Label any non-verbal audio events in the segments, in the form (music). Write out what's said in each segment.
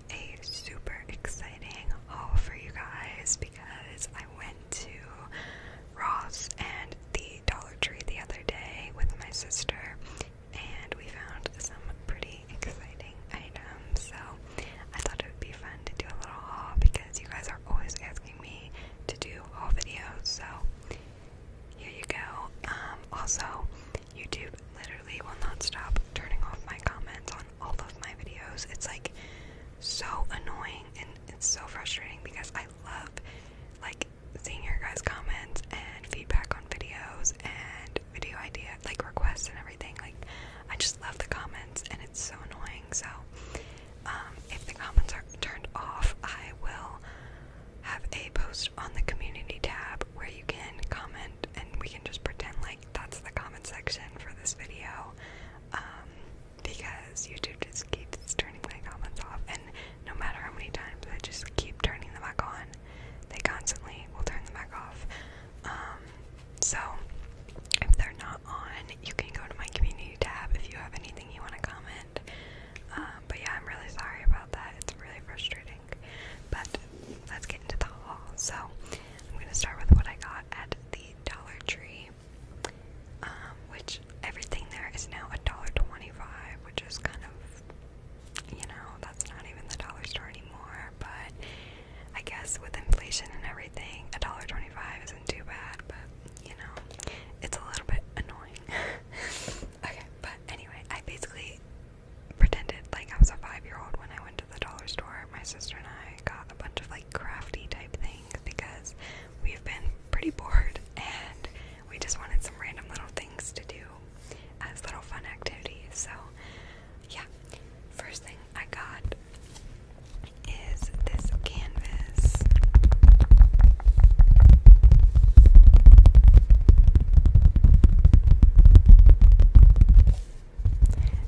have a super exciting haul for you guys because I went to Ross and the Dollar Tree the other day with my sister and we found some pretty exciting items. So I thought it would be fun to do a little haul because you guys are always asking me to do haul videos. So here you go. Um, also, YouTube literally will not stop turning off my comments on all of my videos. It's like so annoying and it's so frustrating because I love like seeing your guys' comments and feedback on videos and video idea like requests and everything. Like I just love the comments and it's so annoying. So um, if the comments are turned off, I will have a post on the community tab where you can comment comment and we can just pretend like that's the comment section for this video um, because YouTube just keeps turning my comments off and no matter how many times I just keep turning them back on, they constantly will turn them back off. Um, so if they're not on, you can go to my community tab if you have anything you want to comment. Um, but yeah, I'm really sorry about that. It's really frustrating. But let's get into the haul. So I'm gonna start with what I got at the Dollar Tree, um, which everything there is now a dollar twenty-five, which is kind of, you know, that's not even the dollar store anymore. But I guess with inflation and everything, a dollar twenty-five isn't too bad. But you know, it's a little bit annoying. (laughs) okay, but anyway, I basically pretended like I was a five year old when I went to the dollar store. My sister and I got a bunch of like crafty type things because we've been pretty bored and we just wanted some random little things to do as little fun activities. So, yeah, first thing I got is this canvas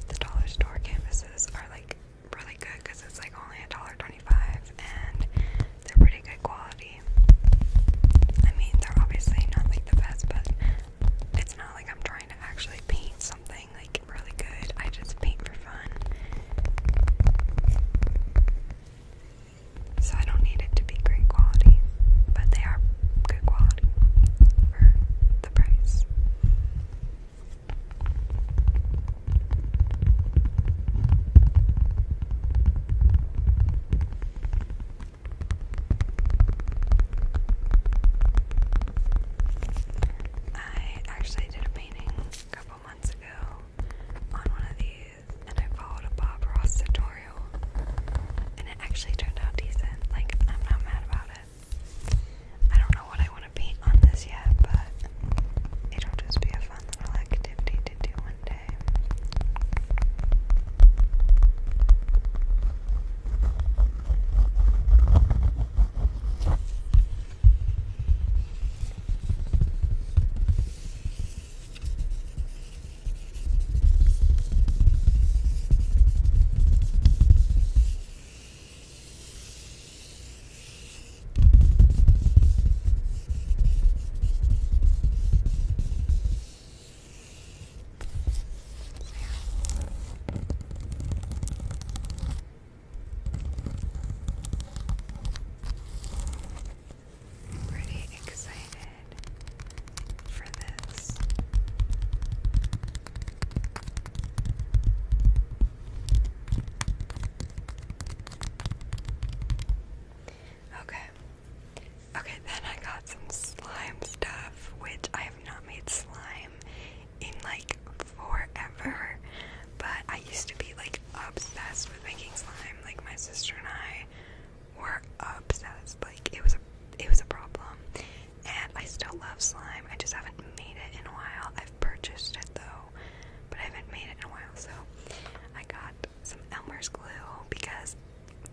the dollar store canvases are like really good because it's like only a dollar twenty-five, and they're pretty good quality. I mean, they're obviously not like the best, but it's not like I'm trying to actually paint something like really good. I just paint for fun. So I don't need it to be great quality but they are good quality for the price. I actually did a painting a couple months ago on one of these, and I followed a Bob Ross tutorial and it actually turned out decent. Like I'm not mad about it. I don't know what I want to paint on this yet, but it'll just be a fun little activity to do one day. Pretty excited for this. Okay. Okay, then I got some slime stuff, which I have not made slime in like forever. But I used to be like obsessed with making slime. Like my sister and I were obsessed. Like it was a it was a problem. And I still love slime. I just haven't made it in a while. I've purchased it though, but I haven't made it in a while. So I got some Elmer's glue because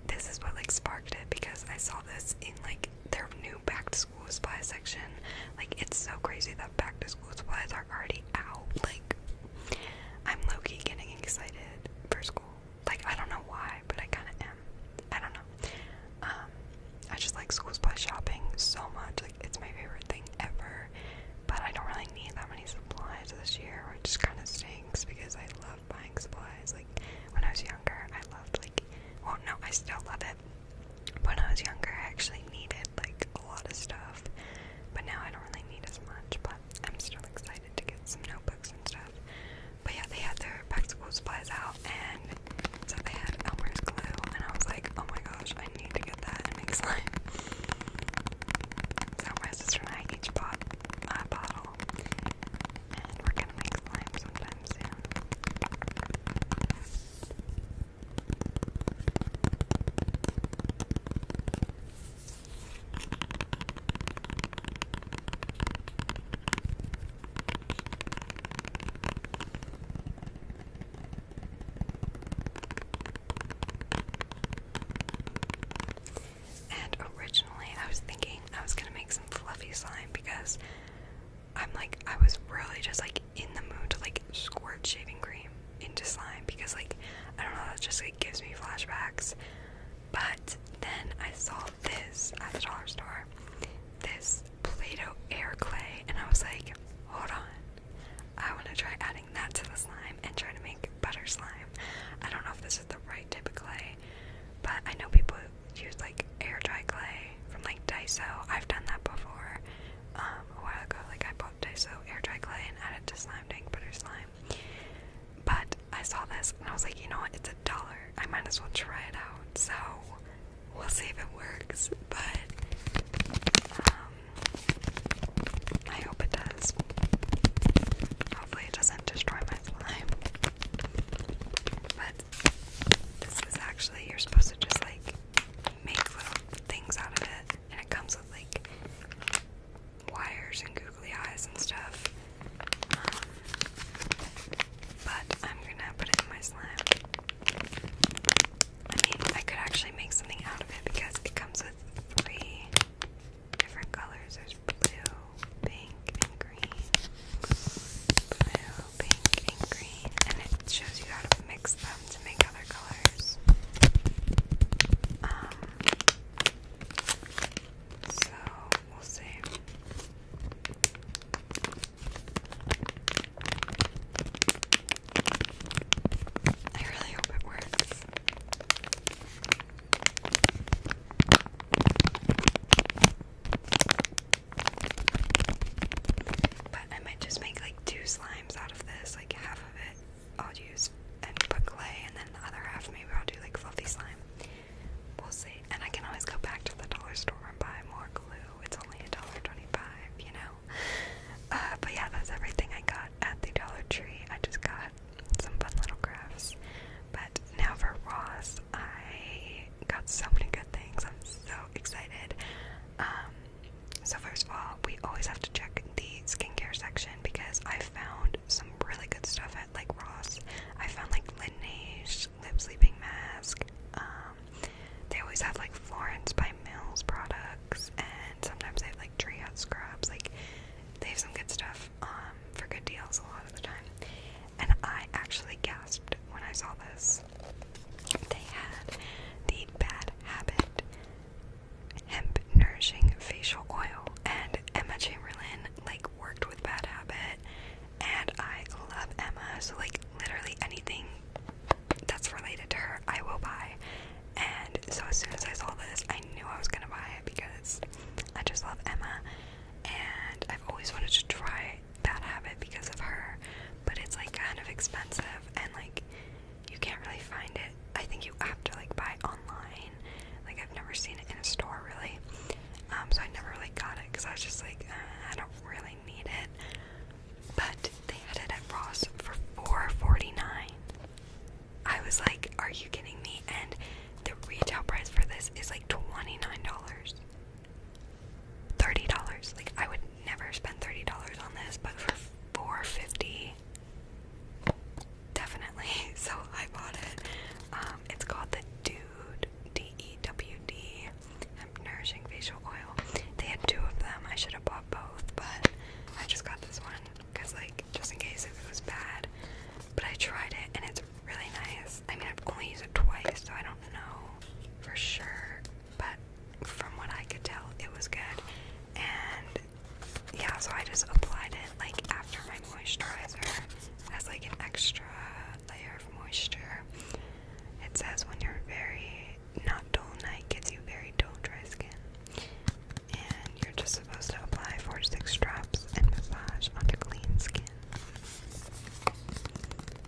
this is what like sparked it because I saw this in like their new back to school supply section. Like it's so crazy that back to school supplies are already out. Like I'm Loki getting excited for school. Like, I don't know why, but I kind of am. I don't know. Um, I just like school supply shopping so much. Like, it's my favorite thing ever. But I don't really need that many supplies this year, which just kind of stinks because I love buying supplies. Like, when I was younger, I loved, like, Oh no, I still love it. When I was younger, I actually needed, like, a lot of stuff. But now I don't really need as much. But I'm still excited to get some notebooks and stuff. But yeah, they had their back to school supplies out, and so they had Elmer's glue, and I was like, oh my gosh, I need to get that and make (laughs) slime. So my sister and I each bottle, and we're gonna make slime sometime soon. And originally, I was thinking I was gonna make some fluffy slime because I'm like, I was really just like in the mood to like squirt shaving cream into slime because, like, I don't know, that just like gives me flashbacks. But then I saw this at the dollar store, this Play-Doh air clay, and I was like, hold on, I want to try adding that to the slime and try to make butter slime. I don't know if this is the right type of clay, but I know people use like air dry clay from like Daiso. I've done that before um, a while ago. Like I bought Daiso air dry clay and added to slime to ink butter slime. But I saw this and I was like, you know what? It's a dollar. I might as well try it out. So we'll see if it works. But um, I hope it does. Hopefully, it doesn't destroy my slime. But this is actually, you're supposed to just like make little things out of it. And it comes with like wires and googly eyes and stuff. Um, but I'm gonna put in my slime. I mean, I could actually make something out of it because it comes with three different colors. There's blue, pink, and green. Blue, pink, and green. And it shows you how to mix them to make other colors. Um, so we'll see. I really hope it works. But I might just make like two slimes out of this, like half of it I'll use and put clay, and then the other half maybe I'll do like fluffy slime. We'll see. And I can always go back to the dollar store and buy more glue. It's only a dollar twenty-five, you know. Uh, but yeah, that's everything I got at the Dollar Tree. I just got some fun little crafts. But now for Ross, I got so many good things. I'm so excited. Um, so first of all, we always have to check the skincare section because I found found some really good stuff at like Ross. I found like Laneige lip sleeping mask. Um, they always have like Florence by Mills products, and sometimes they have like Treehouse scrubs. Like they have some good stuff um, for good deals a lot of the time. And I actually gasped when I saw this. They had the Bad Habit Hemp Nourishing Facial Oil, and Emma Chamberlain like worked with Bad Habit and I love Emma, so like literally anything that's related to her, I will buy. And so as soon as I saw this, I knew I was gonna buy it because I just love Emma and I've always wanted to try Bad Habit because of her, but it's like kind of expensive and like you can't really find it. I think you have to like buy online like I've never seen it in a store really. Um, so I never really got it because I was just like, uh, I don't really need it. But they had it at Ross for $4.49. I was like, are you kidding me? And the retail price for this is like $29. $30. Like I would never spend $30 on this, but for $4.50, Definitely. (laughs) So I bought it. Um, it's called the Dude D E W D um, Nourishing Facial Oil. They had two of them. I should have bought both, but I just got this one because, like, just in case if it was bad. But I tried it and it's really nice. I mean, I've only used it twice, so I don't know for sure. But from what I could tell, it was good. And yeah, so I just applied it like after my moisturizer as like an extra layer of moisture. It says when you're very not dull night gives you very dull dry skin. And you're just supposed to apply four six drops and massage onto clean skin.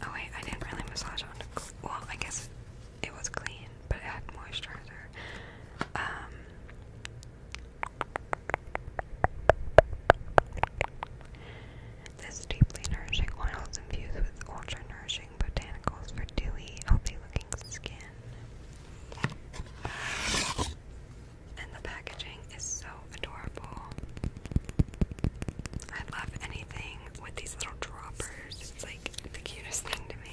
Oh wait, I didn't really massage onto well, I guess it was clean, but it had moisturizer. Um this deeply nourishing oil is infused with ultra nourishing botanicals for dewy, healthy looking skin. And the packaging is so adorable. I love anything with these little droppers, it's like the cutest thing to me.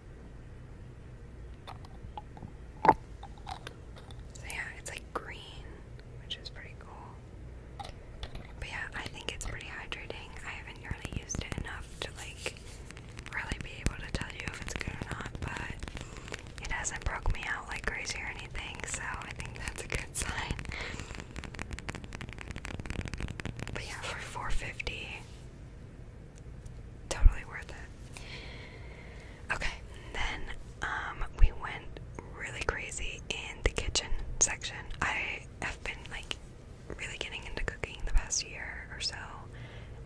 So yeah, it's like green, which is pretty cool. But yeah, I think it's pretty hydrating. I haven't really used it enough to like really be able to tell you if it's good or not, but it hasn't broke me out like crazy or anything, so I think that's a good (laughs) sign. But yeah, for 450 totally worth it. Okay, then um, we went really crazy in the kitchen section. I have been like really getting into cooking the past year or so,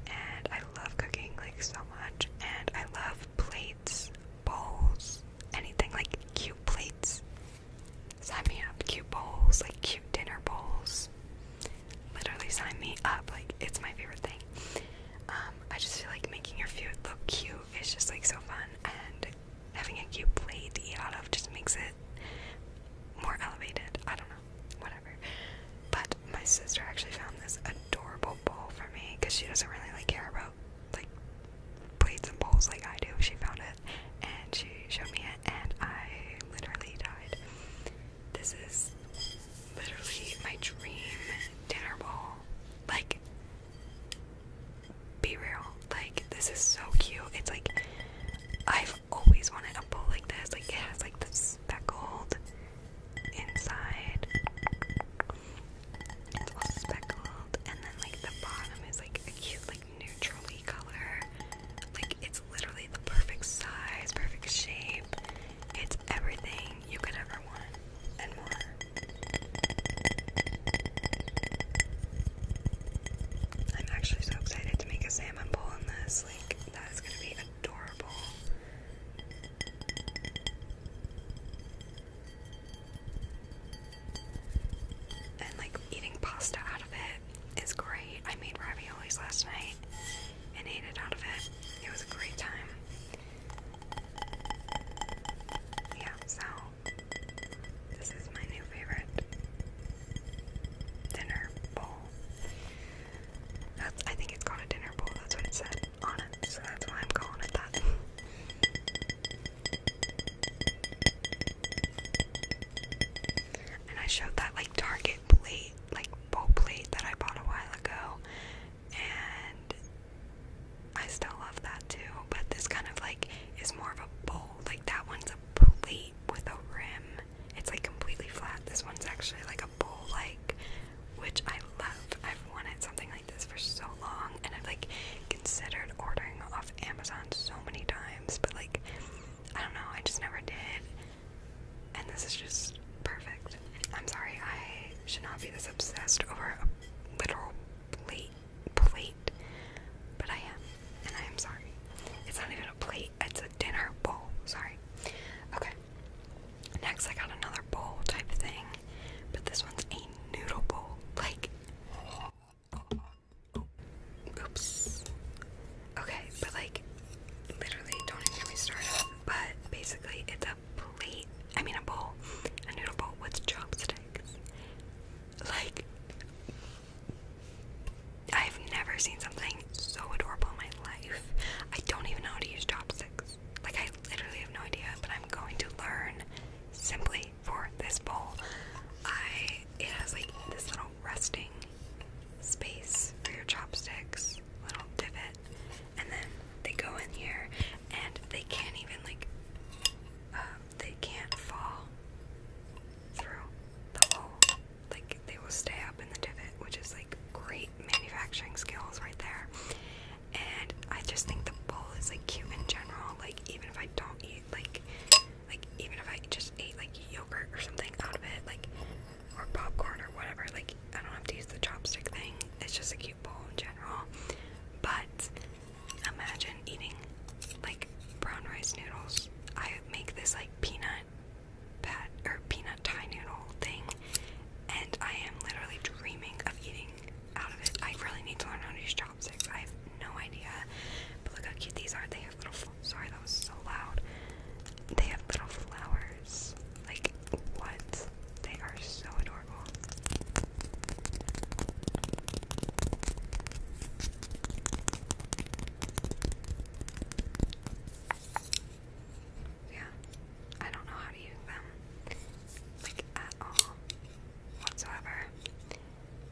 and I love cooking like so much, and I love plates, bowls, anything like cute plates. Sign up, cute bowls, like cute dinner bowls literally sign me up. Like it's my favorite thing. Um, I just feel like making your food look cute is just like so fun, and having a cute plate to eat out of just makes it more elevated. I don't know, whatever. But my sister actually found this adorable bowl for me because she doesn't really like care about like plates and bowls like I do. She found it and she showed me it, and I literally died. This is literally my dream dinner bowl. Like, be real. Like, this is so cute. It's like, I've always wanted a bowl like this. Like, it has like the speckled inside. It's all speckled. And then, like, the bottom is like a cute, like, neutrally color. Like, it's literally the perfect size, perfect shape. It's everything you could ever want and more. I'm actually so excited to make a salmon bowl in this. Like, that is going to be adorable. And like eating pasta out of it is great. I made raviolis last night and ate it out of it. It was a great time. Yeah, so this is my new favorite dinner bowl. I think it's called a dinner bowl, that's what it said on it, so that's why I'm calling it that. (laughs) And I showed that like Target plate, like bowl plate that I bought a while ago, and I still love that too. But this kind of like is more of a bowl. Like that one's a plate with a rim. It's like completely flat. This one's actually like a bowl like, which I love. I've wanted something like this for so long, and I've like considered ordering off Amazon so many times, but like I don't know, I just never did. And this is just perfect. I'm sorry, I should not be this obsessed over a literal plate, plate, but I am, and I am sorry. It's not even a plate, it's a dinner bowl. Sorry. Okay. Next, I got another bowl type thing, but this one's a noodle bowl. Like, oops. Okay, but like, literally, don't even get me started. But basically, it's a plate. I mean, a bowl, a noodle bowl with chopsticks. Like, I've never seen something so adorable in my life. I don't even know how to use chopsticks. Like, I literally have no idea, but I'm going to learn simply for this bowl. I it has like this little resting space for your chopsticks, little divot, and then they go in here and they can't even like um, they can't fall through the hole. Like they will stay up in the divot, which is like great manufacturing skills right there. And I just think the bowl is like cute in general. Like even if I don't eat like like even if I just eat like yogurt or something out of it, like or popcorn or whatever. Like, I don't have to use the chopstick thing, it's just a cute bowl in general. But imagine eating like brown rice noodles. I make this like peanut pat or peanut Thai noodle thing, and I am literally dreaming of eating out of it. I really need to learn how to use chopsticks. I have no idea. But look how cute these are. They Sorry, that was so loud. They have little flowers. Like what? They are so adorable. Yeah, I don't know how to use them, like at all, whatsoever.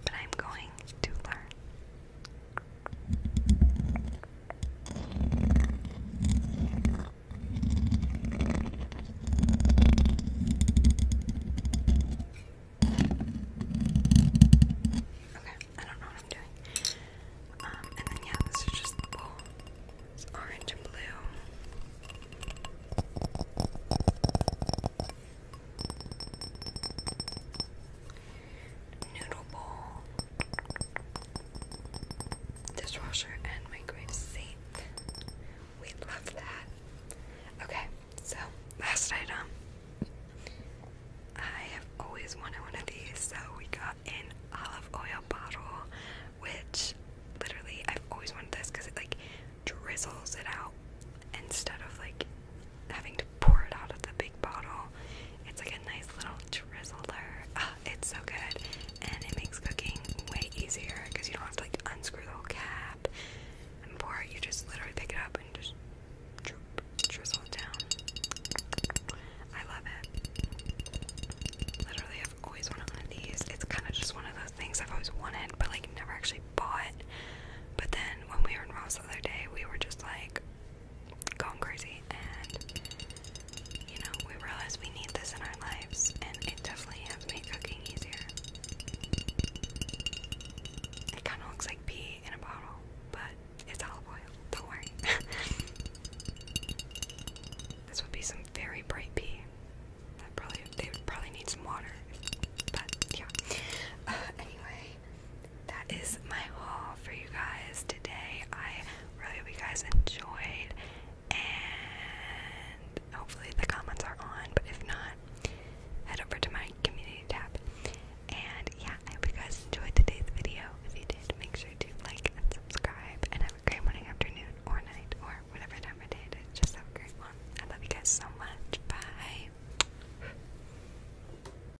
But I'm going to learn. I don't know what I'm doing. Um, and then, yeah, this is just the bowl. It's orange and blue noodle bowl, dishwasher, and my microwave safe. We love that. Okay, so last item. I have always wanted one of these, so we got an olive oil bottle, which literally I've always wanted this because it like drizzles it out instead of like having to pour it out of the big bottle. It's like a nice little drizzler. Ah, it's so good, and it makes cooking way easier because you don't have to like unscrew the whole cap and pour it. You just literally pick it up and just drizzle it down. I love it. Literally, I've always wanted one of these. It's kind of just one of those things I've always wanted, but like never actually bought. But then when we were in Ross the other day, we were just like, gone crazy and you know, we realize we need this in our lives and it definitely has made cooking easier. It kinda looks like pee in a bottle, but it's olive oil, don't worry. (laughs) this would be some very bright pee. That probably they would probably need some water. But yeah. (laughs) anyway, that is my haul for you guys today. I really hope you guys enjoyed, and hopefully the comments are on. But if not, head over to my community tab. And yeah, I hope you guys enjoyed today's video. If you did, make sure to like and subscribe, and have a great morning, afternoon, or night, or whatever time of day Just have a great one. I love you guys so much. Bye.